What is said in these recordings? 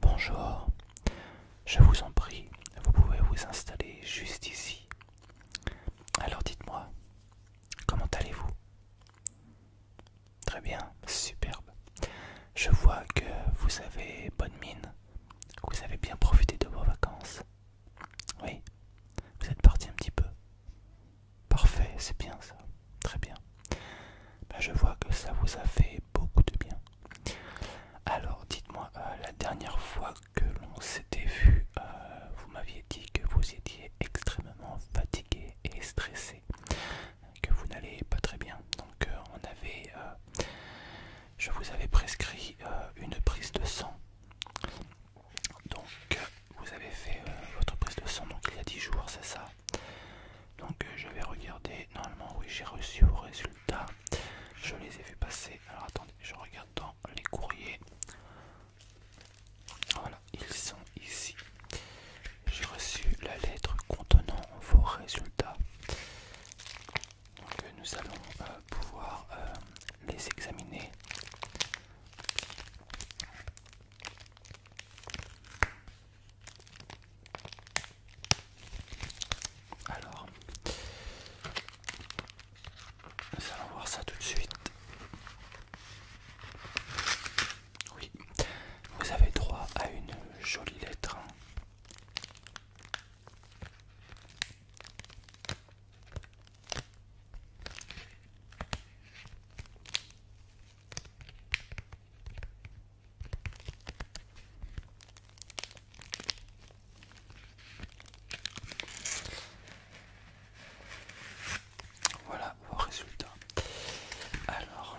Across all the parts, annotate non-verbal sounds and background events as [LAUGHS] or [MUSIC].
Bonjour, je vous en prie, vous pouvez vous installer juste ici. Alors dites-moi, comment allez-vous Très bien, superbe. Je vois que vous avez bonne mine, vous avez bien profité de vos vacances. Oui, vous êtes parti un petit peu. Parfait, c'est bien ça. Très bien. Bah, je vois que ça vous a fait beaucoup de bien. Alors, dites-moi, euh, la dernière fois que l'on s'était vu, euh, vous m'aviez dit que vous étiez extrêmement fatigué et stressé, que vous n'allez pas très bien. Donc, euh, on avait, je vous avais prescrit une prise de sang donc euh, vous avez fait euh, votre prise de son donc il y a 10 jours, c'est ça Donc euh, je vais regarder, normalement oui j'ai reçu vos résultats, je les ai vus passer, alors attendez, je regarde dans les courriers. Voilà, ils sont ici. J'ai reçu la lettre contenant vos résultats. Donc nous allons euh, pouvoir euh, les examiner. Alors, nous allons voir ça tout de suite. Oui, vous avez droit à une jolie lettre. Hein. Voilà vos résultats. Alors,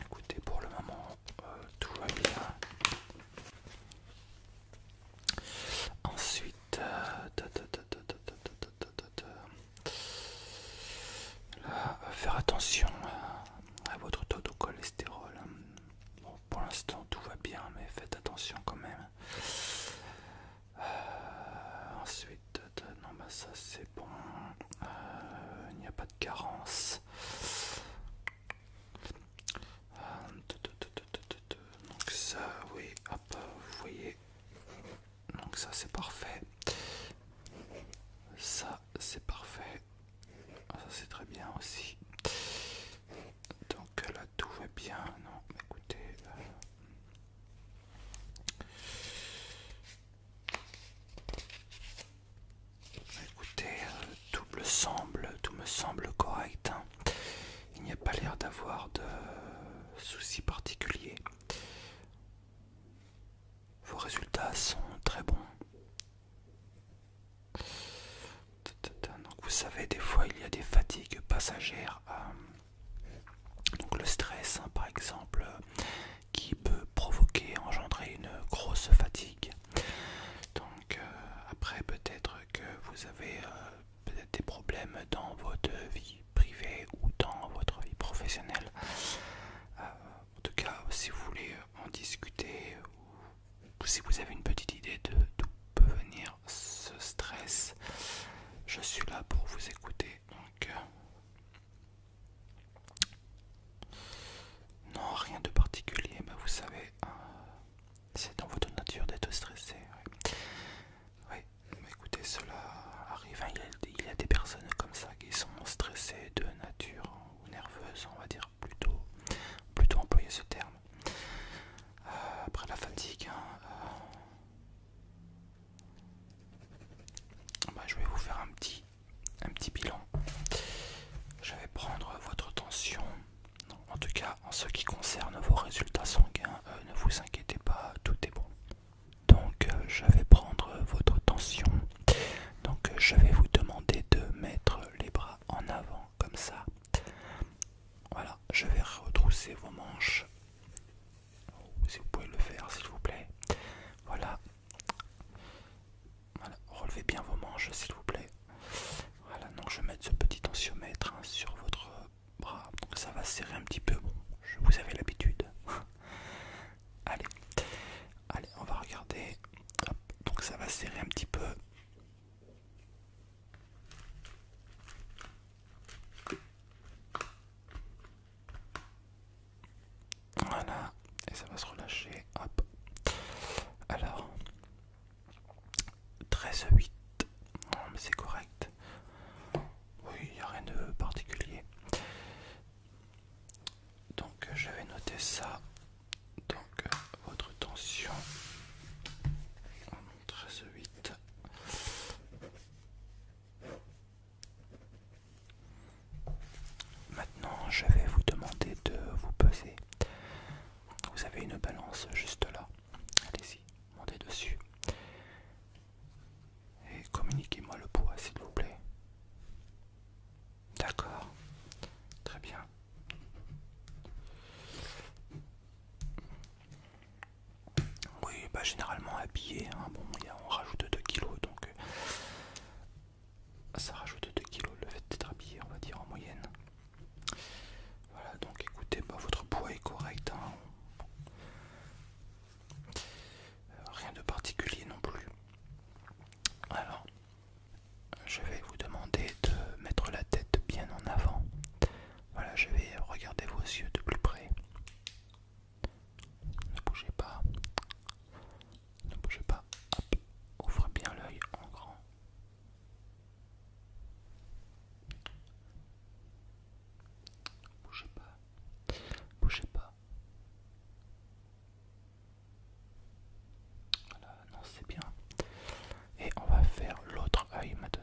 Écoutez, pour le moment, tout va bien. Ensuite, faire attention à votre taux de cholestérol. pour l'instant, tout va bien, mais faites attention quand même. ensuite, non, bah ça c'est bon. il n'y a pas carence. Euh, donc ça, oui, hop, vous voyez. Donc ça c'est parfait. Ça c'est parfait. Ah, ça c'est très bien aussi. Donc là tout va bien. Non, écoutez. Euh, Écoutez, euh, tout me semble, tout me semble correct. Hein. Il n'y a pas l'air d'avoir de soucis particuliers. Vos résultats sont très bons. Donc vous savez, des fois il y a des fatigues passagères. Euh, donc le stress, hein, par exemple, qui peut provoquer, engendrer une grosse fatigue. Donc euh, après peut-être que vous avez euh, peut-être des problèmes dans votre vie privée ou dans votre vie professionnelle. Euh, en tout cas, si vous voulez en discuter ou si vous avez une petite idée de d'où peut venir ce stress, je suis là pour vous écouter. Donc non, rien de particulier, mais vous savez, euh, c'est dans votre nature d'être stressé. Oui. écoutez, cela arrive. Hein, il, y a, des personnes comme ça qui sont stressées de nature ou nerveuses, on va dire plutôt, plutôt employer ce terme. Euh, après la fatigue, hein, euh, bah, je vais vous faire un petit un petit bilan. Je vais prendre votre tension. en tout cas, en ce qui concerne vos résultats sanguins, euh, ne vous inquiétez pas, tout est bon. Donc, euh, je vais prendre votre tension. Donc, euh, je vais vous demander de mettre les bras en avant, comme ça. Voilà, je vais retrousser vos manches. Si vous pouvez le faire, s'il vous plaît. Voilà, voilà, relevez bien vos manches s'il vous plaît. Voilà, donc je vais mettre ce petit tensiomètre hein, sur votre bras. Donc ça va serrer un petit peu, vous avez l'habitude. [LAUGHS] allez, allez, on va regarder. Donc ça va serrer un petit peu. Voilà, et ça va se relâcher. Hop. Alors, 13,8, Non, mais c'est correct. Oui, il n'y a rien de particulier. Donc, euh, je vais noter ça. Donc, euh, votre tension. 13,8. Maintenant, je vais vous demander de vous peser. Vous avez une balance juste là. Allez-y, montez dessus. Et communiquez-moi le poids, s'il vous plaît. D'accord. Très bien. Oui, bah généralement habillé, hein. bon, on rajoute 2 kilos, donc euh, ça rajoute 2 kg le fait d'être habillé, on va dire en moyenne. Voilà, donc écoutez, bah, votre poids est correct. Hein. Euh, rien de particulier non plus. Alors, je vais vous demander de mettre la tête bien en avant. Voilà, je vais regarder vos yeux de plus près. Ne bougez pas. Ne bougez pas. Ouvre Ouvrez bien l'œil en grand. Bougez pas. Bougez pas. Voilà, non, c'est bien. Et on va faire l'autre œil maintenant.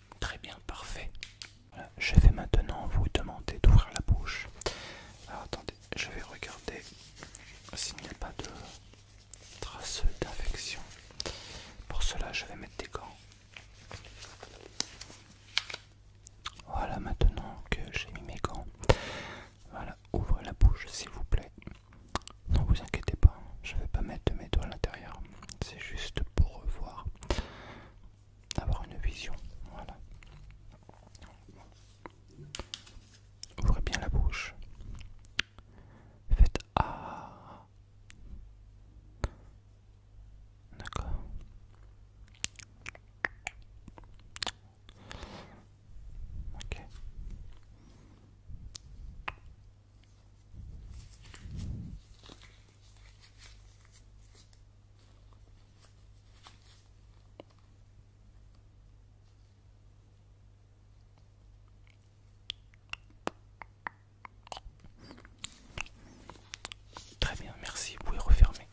Très bien, parfait. je vais maintenant vous demander d'ouvrir la bouche. Alors attendez, je vais regarder ah, s'il n'y a pas de trace d'infection. Pour cela, je vais mettre des gants. Voilà, maintenant que j'ai mis mes gants. Voilà, ouvrez la bouche s'il vous plaît. Non, vous inquiétez pas, je vais pas mettre mes doigts à l'intérieur. C'est juste pour voir avoir une vision. Voilà. Ouvrez bien la bouche. Faites ah. D'accord. Ok. Très bien, merci, vous pouvez refermer.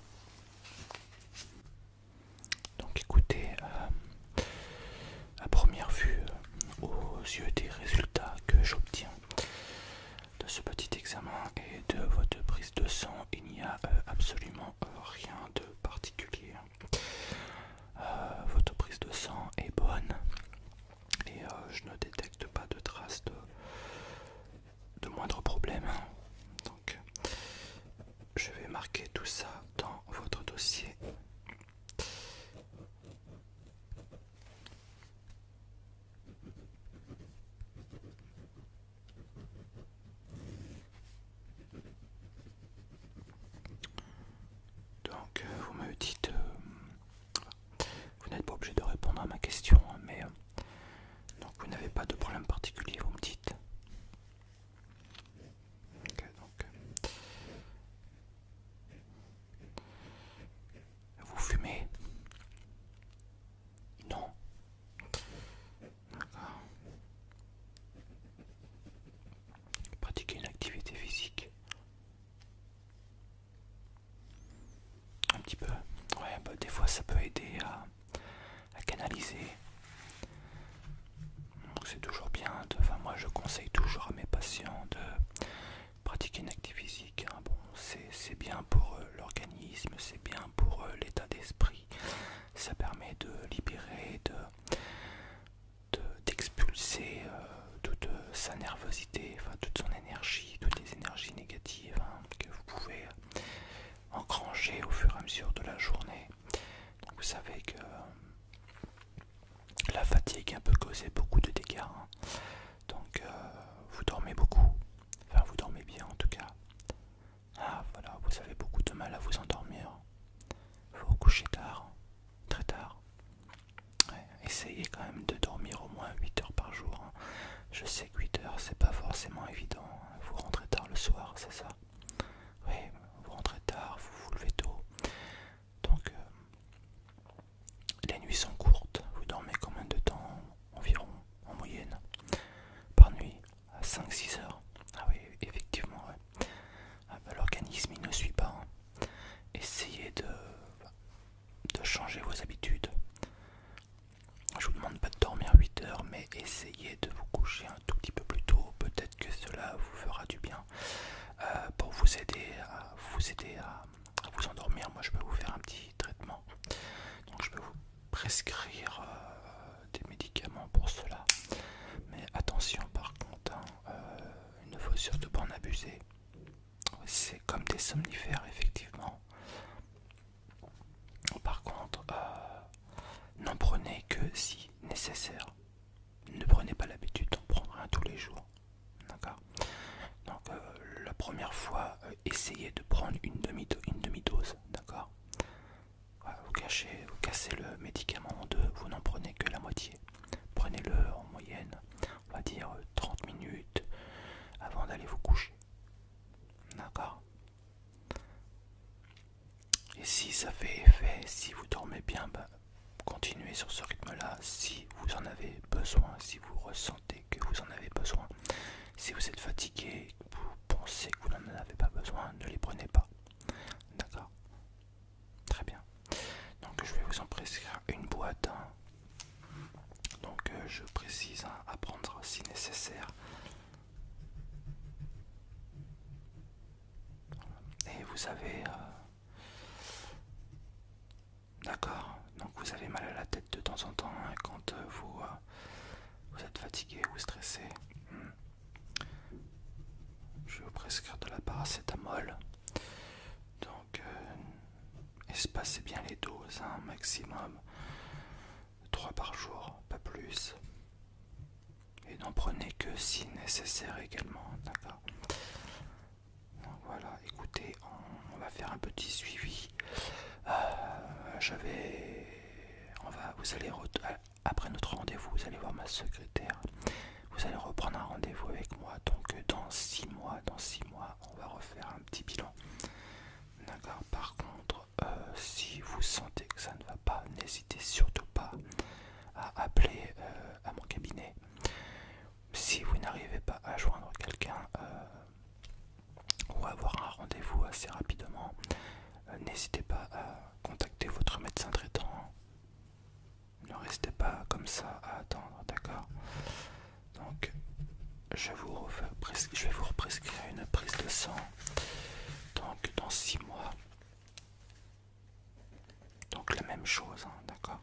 Donc écoutez, euh, à première vue, euh, aux yeux des résultats que j'obtiens, de ce petit examen et de votre prise de sang, il n'y a euh, absolument euh, rien de particulier. Euh, votre prise de sang est bonne et je ne détecte pas de traces de moindre problème. Donc, je vais marquer tout ça dans votre dossier. Donc euh, vous me dites, euh, vous n'êtes pas obligé de répondre à ma question, hein, mais euh, donc vous n'avez pas de problème particulier, vous me dites. donc, vous fumez Non. D'accord. Pratiquez une activité physique. Un petit peu. Ouais, bah, des fois ça peut aider à, canaliser. c'est toujours bien. enfin, moi je conseille toujours à mes patients de pratiquer une activité physique, hein, bon, c'est bien pour euh, l'organisme, c'est bien pour euh, l'état d'esprit, ça permet de libérer, d'expulser de, euh, toute sa nervosité, enfin toute son énergie, toutes les énergies négatives hein, que vous pouvez engranger au fur et à mesure de la journée. vous savez que la fatigue peut causer beaucoup de dégâts. Hein. Donc vous dormez beaucoup, Enfin, vous dormez bien en tout cas. Ah voilà, vous avez beaucoup de mal à vous endormir. Vous vous couchez tard, très tard. essayez quand même de dormir au moins 8 heures par jour. Hein. Je sais que 8 heures, c'est pas forcément évident. Hein. Vous rentrez tard le soir, c'est ça Oui, vous rentrez tard, vous vous levez tôt. Donc, euh, les nuits sont courtes, vous dormez combien de temps environ en moyenne Par nuit à 5-6 heures. Ah oui, effectivement, ah bah, l'organisme ne suit pas. Hein. Essayez de, changer vos habitudes. Je vous demande pas de dormir 8 heures, mais essayez de vous coucher un tout petit peu plus tôt. Peut-être que cela vous fera du bien euh, pour vous aider à vous aider à vous endormir. Moi, je peux vous faire un petit traitement, Donc je peux vous prescrire euh, des médicaments pour cela. Mais attention par contre, hein, euh, il ne faut surtout pas en abuser. C'est comme des somnifères effectivement. Par contre, euh, n'en prenez que si nécessaire. Ne prenez pas l'habitude d'en prendre un tous les jours. D'accord donc euh, la première fois, euh, essayez de prendre une demi-dose, d'accord vous, cachez, vous cassez le médicament en deux, vous n'en prenez que la moitié. Prenez-le en moyenne, on va dire 30 euh, minutes avant d'aller vous coucher. D'accord Et si ça fait effet, si vous dormez bien, bah, continuez sur ce rythme-là si vous en avez besoin, si vous ressentez que vous en avez besoin. Si vous êtes fatigué, vous pensez que vous n'en avez pas besoin, ne les prenez pas. D'accord Très bien. Donc je vais vous en prescrire une boîte. Hein. Donc euh, je précise hein, à prendre si nécessaire. Et vous avez... Euh, D'accord, donc vous avez mal à la tête de temps en temps hein, quand euh, vous, euh, vous êtes fatigué ou stressé. Hmm. Je vais vous prescrire de la paracétamol. Donc, euh, espacez bien les doses, un hein, maximum 3 par jour, pas plus. Et n'en prenez que si nécessaire également, d'accord. Voilà, écoutez, on, va faire un petit suivi. Euh, je on va, vous allez euh, après notre rendez-vous, vous allez voir ma secrétaire. Vous allez reprendre un rendez-vous avec moi. Donc dans six mois, dans 6 mois, on va refaire un petit bilan. D'accord. Par contre, euh, si vous sentez que ça ne va pas, n'hésitez surtout pas à appeler à mon cabinet. Si vous n'arrivez pas à joindre quelqu'un, ou avoir un rendez-vous assez rapidement, euh, n'hésitez pas à contacter votre médecin traitant. Ne restez pas comme ça à attendre, d'accord Donc, je, vais vous represcrire une prise de sang donc, dans 6 mois. Donc, la même chose, hein, d'accord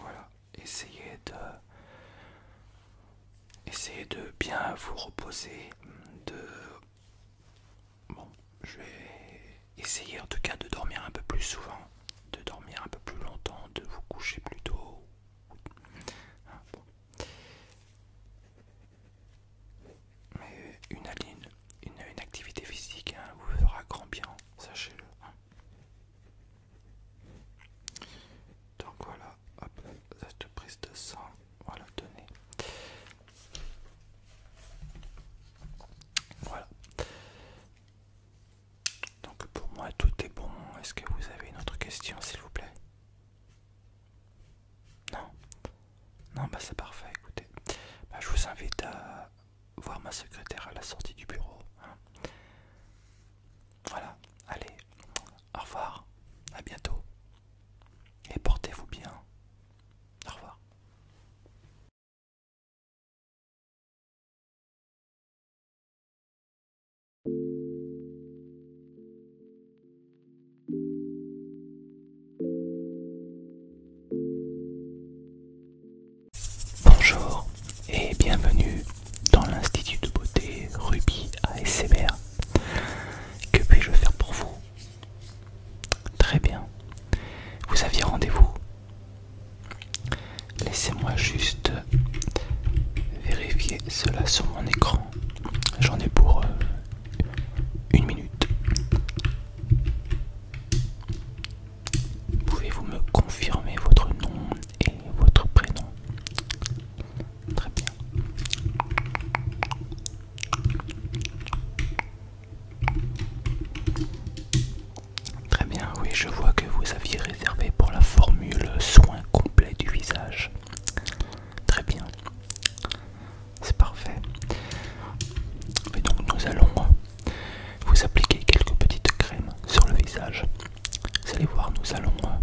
voilà, essayez de essayez de bien vous reposer de bon, je vais essayer en tout cas de dormir un peu plus souvent, de dormir un peu plus longtemps, de vous coucher plus tôt. Ah, Mais une, une, activité physique hein, vous fera grand bien, sachez-le. Hein. Donc voilà, cette prise de sang, voilà, donnez. Voilà. Donc pour moi tout est bon. Est-ce que vous avez une autre question s'il vous plaît Non Non bah c'est parfait, écoutez. Bah, je vous invite à voir ma secrétaire à la sortie du bureau. Hein. Voilà, allez, au revoir, à bientôt, et portez-vous bien. Au revoir. Bonjour et bienvenue dans l'Institut de beauté Ruby ASMR. Que puis-je faire pour vous Très bien. Vous aviez rendez-vous Laissez-moi juste vérifier cela sur mon écran. J'en ai pour euh, une minute. Pouvez-vous me confirmer votre nom et votre prénom. Très bien. Très bien, oui, je vois que vous aviez réservé pour la formule soin complet du visage. Très bien. C'est parfait. Mais donc nous allons vous appliquer quelques petites crèmes sur le visage. Vous allez voir, nous allons, euh,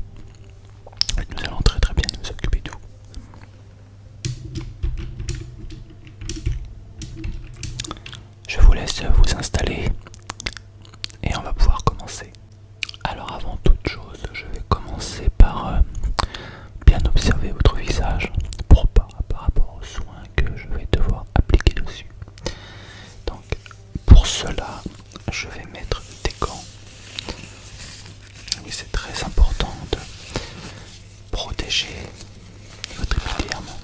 nous allons très très bien nous occuper de vous. Je vous laisse vous installer et on va pouvoir commencer. Alors avant toute chose, je vais commencer par euh, bien observer votre visage pour par rapport aux soins que je vais devoir appliquer dessus. Donc pour cela, je vais mettre des gants. Oui, c'est très important de protéger votre environnement.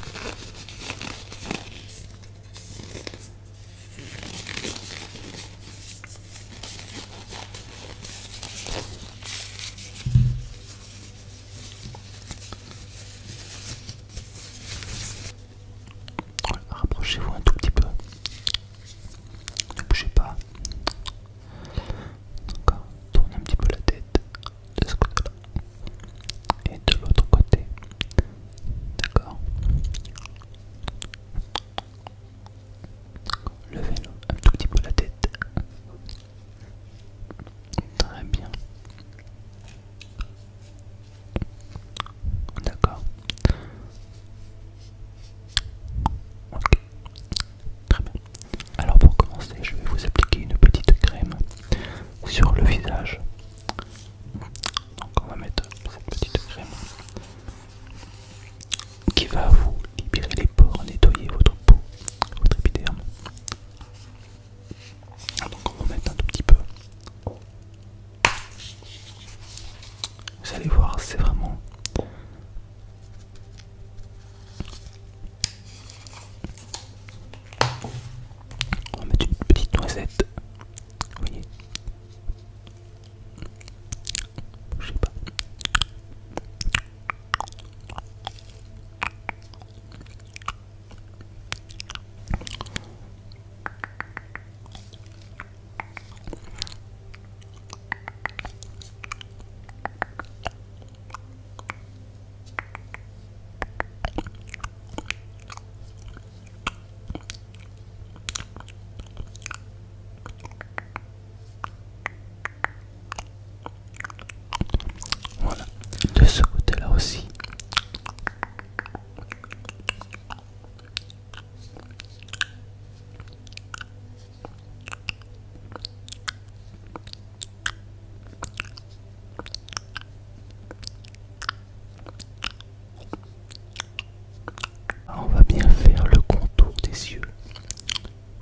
Rapprochez-vous un tout petit peu. Ne bougez pas. D'accord. Tournez un petit peu la tête de ce côté-là. Et de l'autre côté. D'accord. Levez un tout petit peu la tête. Très bien. D'accord. Ok. Très bien. Alors pour commencer, je vais vous appliquer une petite crème sur le visage. Donc on va mettre cette petite crème qui va vous libérer les pores, nettoyer votre peau, votre épiderme. Donc on va mettre un tout petit peu vous allez voir, c'est vraiment on va mettre une petite noisette. Vous voyez Je sais pas. Voilà, de ce côté-là aussi. On va bien faire le contour des yeux.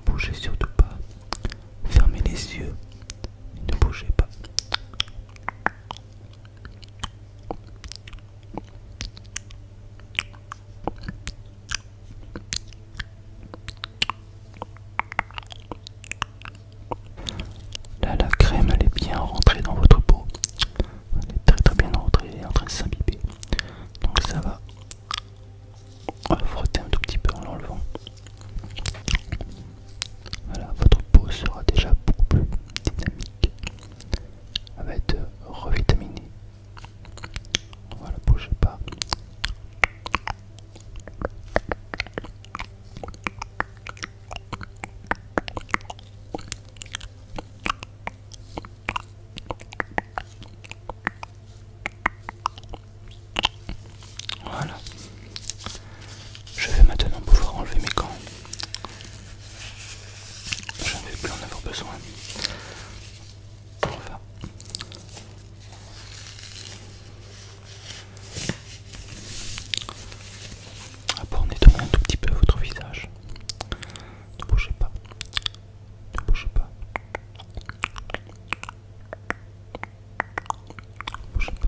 Bougez surtout pas. Fermez les yeux. Ne bougez pas. Là, la crème, elle est bien rentrée dans votre peau. Elle est très très bien rentrée, elle est en train de s'imbiber. Donc ça va. va frotter un tout petit peu en l'enlevant. Voilà, votre peau sera déjà beaucoup plus dynamique avec va être revitaminé. E. Voilà, bougez pas. Voilà. Je vais maintenant pouvoir enlever mes gants. Je ne vais plus en avoir besoin. Enfin. À part nettoyer un tout petit peu votre visage. Ne bougez pas. Ne bougez pas. Ne bougez pas.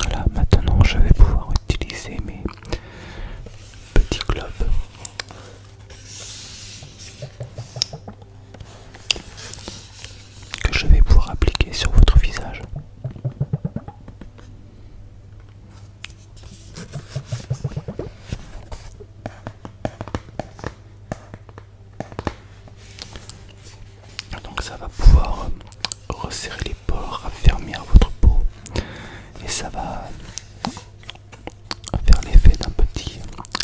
Voilà, maintenant je vais pouvoir utiliser mes petits globes que je vais pouvoir appliquer sur votre visage. Donc ça va pouvoir euh, resserrer les pores, raffermir votre peau et ça va faire l'effet d'un petit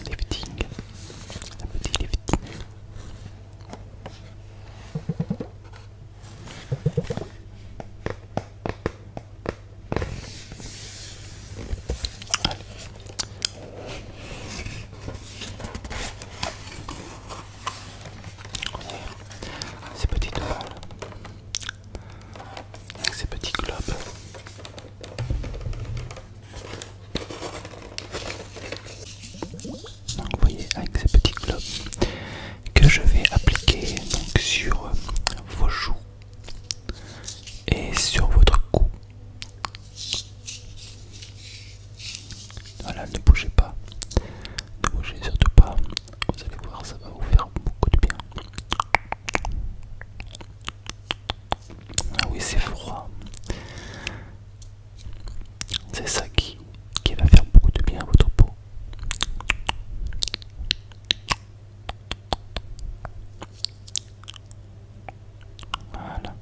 lifting ces petites balles, ces petits globes. Donc vous voyez avec ces petits globes que je vais appliquer sur vos joues et sur votre cou. Voilà, ne bougez pas, ne bougez surtout pas, vous allez voir, ça va vous faire beaucoup de bien. Ah oui, c'est froid. C'est ça qui, qui va faire beaucoup de bien à votre peau. Voilà.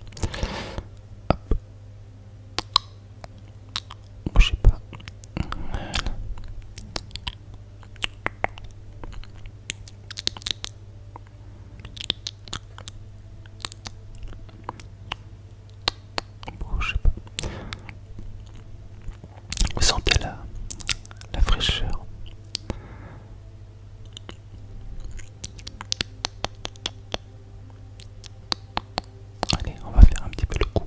pas. Vous sentez la, fraîcheur. Allez, on va faire un petit peu le coup.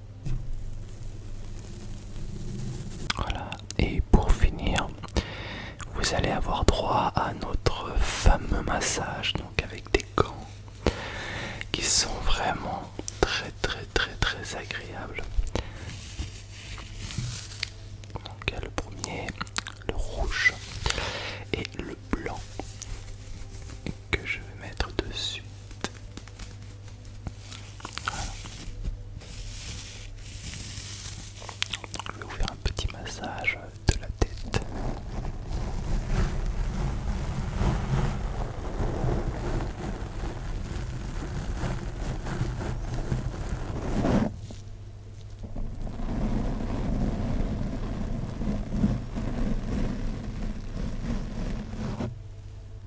Voilà, et pour finir, vous allez avoir droit à notre fameux massage, donc avec des gants qui sont vraiment très très très très agréables. Donc il y a le premier, le rouge et le blanc que je vais mettre de suite. Je vais vous faire un petit massage de la tête.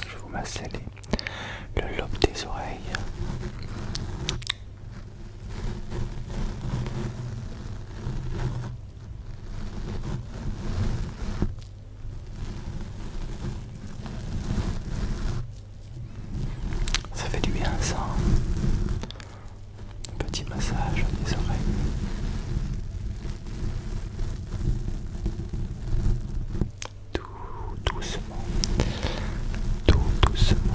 Je vais vous masser le lobe des oreilles. Ça fait du bien ça. petit massage des oreilles. Tout doucement. Tout doucement.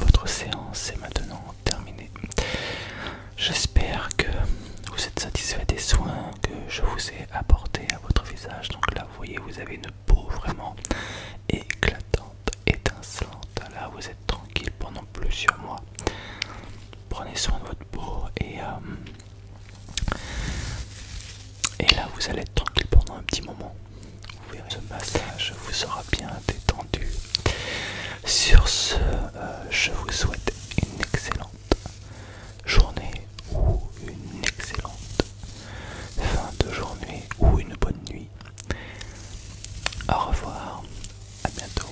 Votre séance est maintenant terminée. J'espère que vous êtes satisfait des soins que je vous ai apportés à votre visage. Donc là, vous voyez, vous avez une peau vraiment éclatante, étincelante. Là, vous êtes tranquille pendant plusieurs mois. Prenez soin de votre peau et... Euh, et là, vous allez être tranquille pendant un petit moment. Vous ce massage vous sera bien détendu. Sur ce, euh, je vous souhaite une excellente journée ou une excellente fin de journée ou une bonne nuit. Au revoir, à bientôt.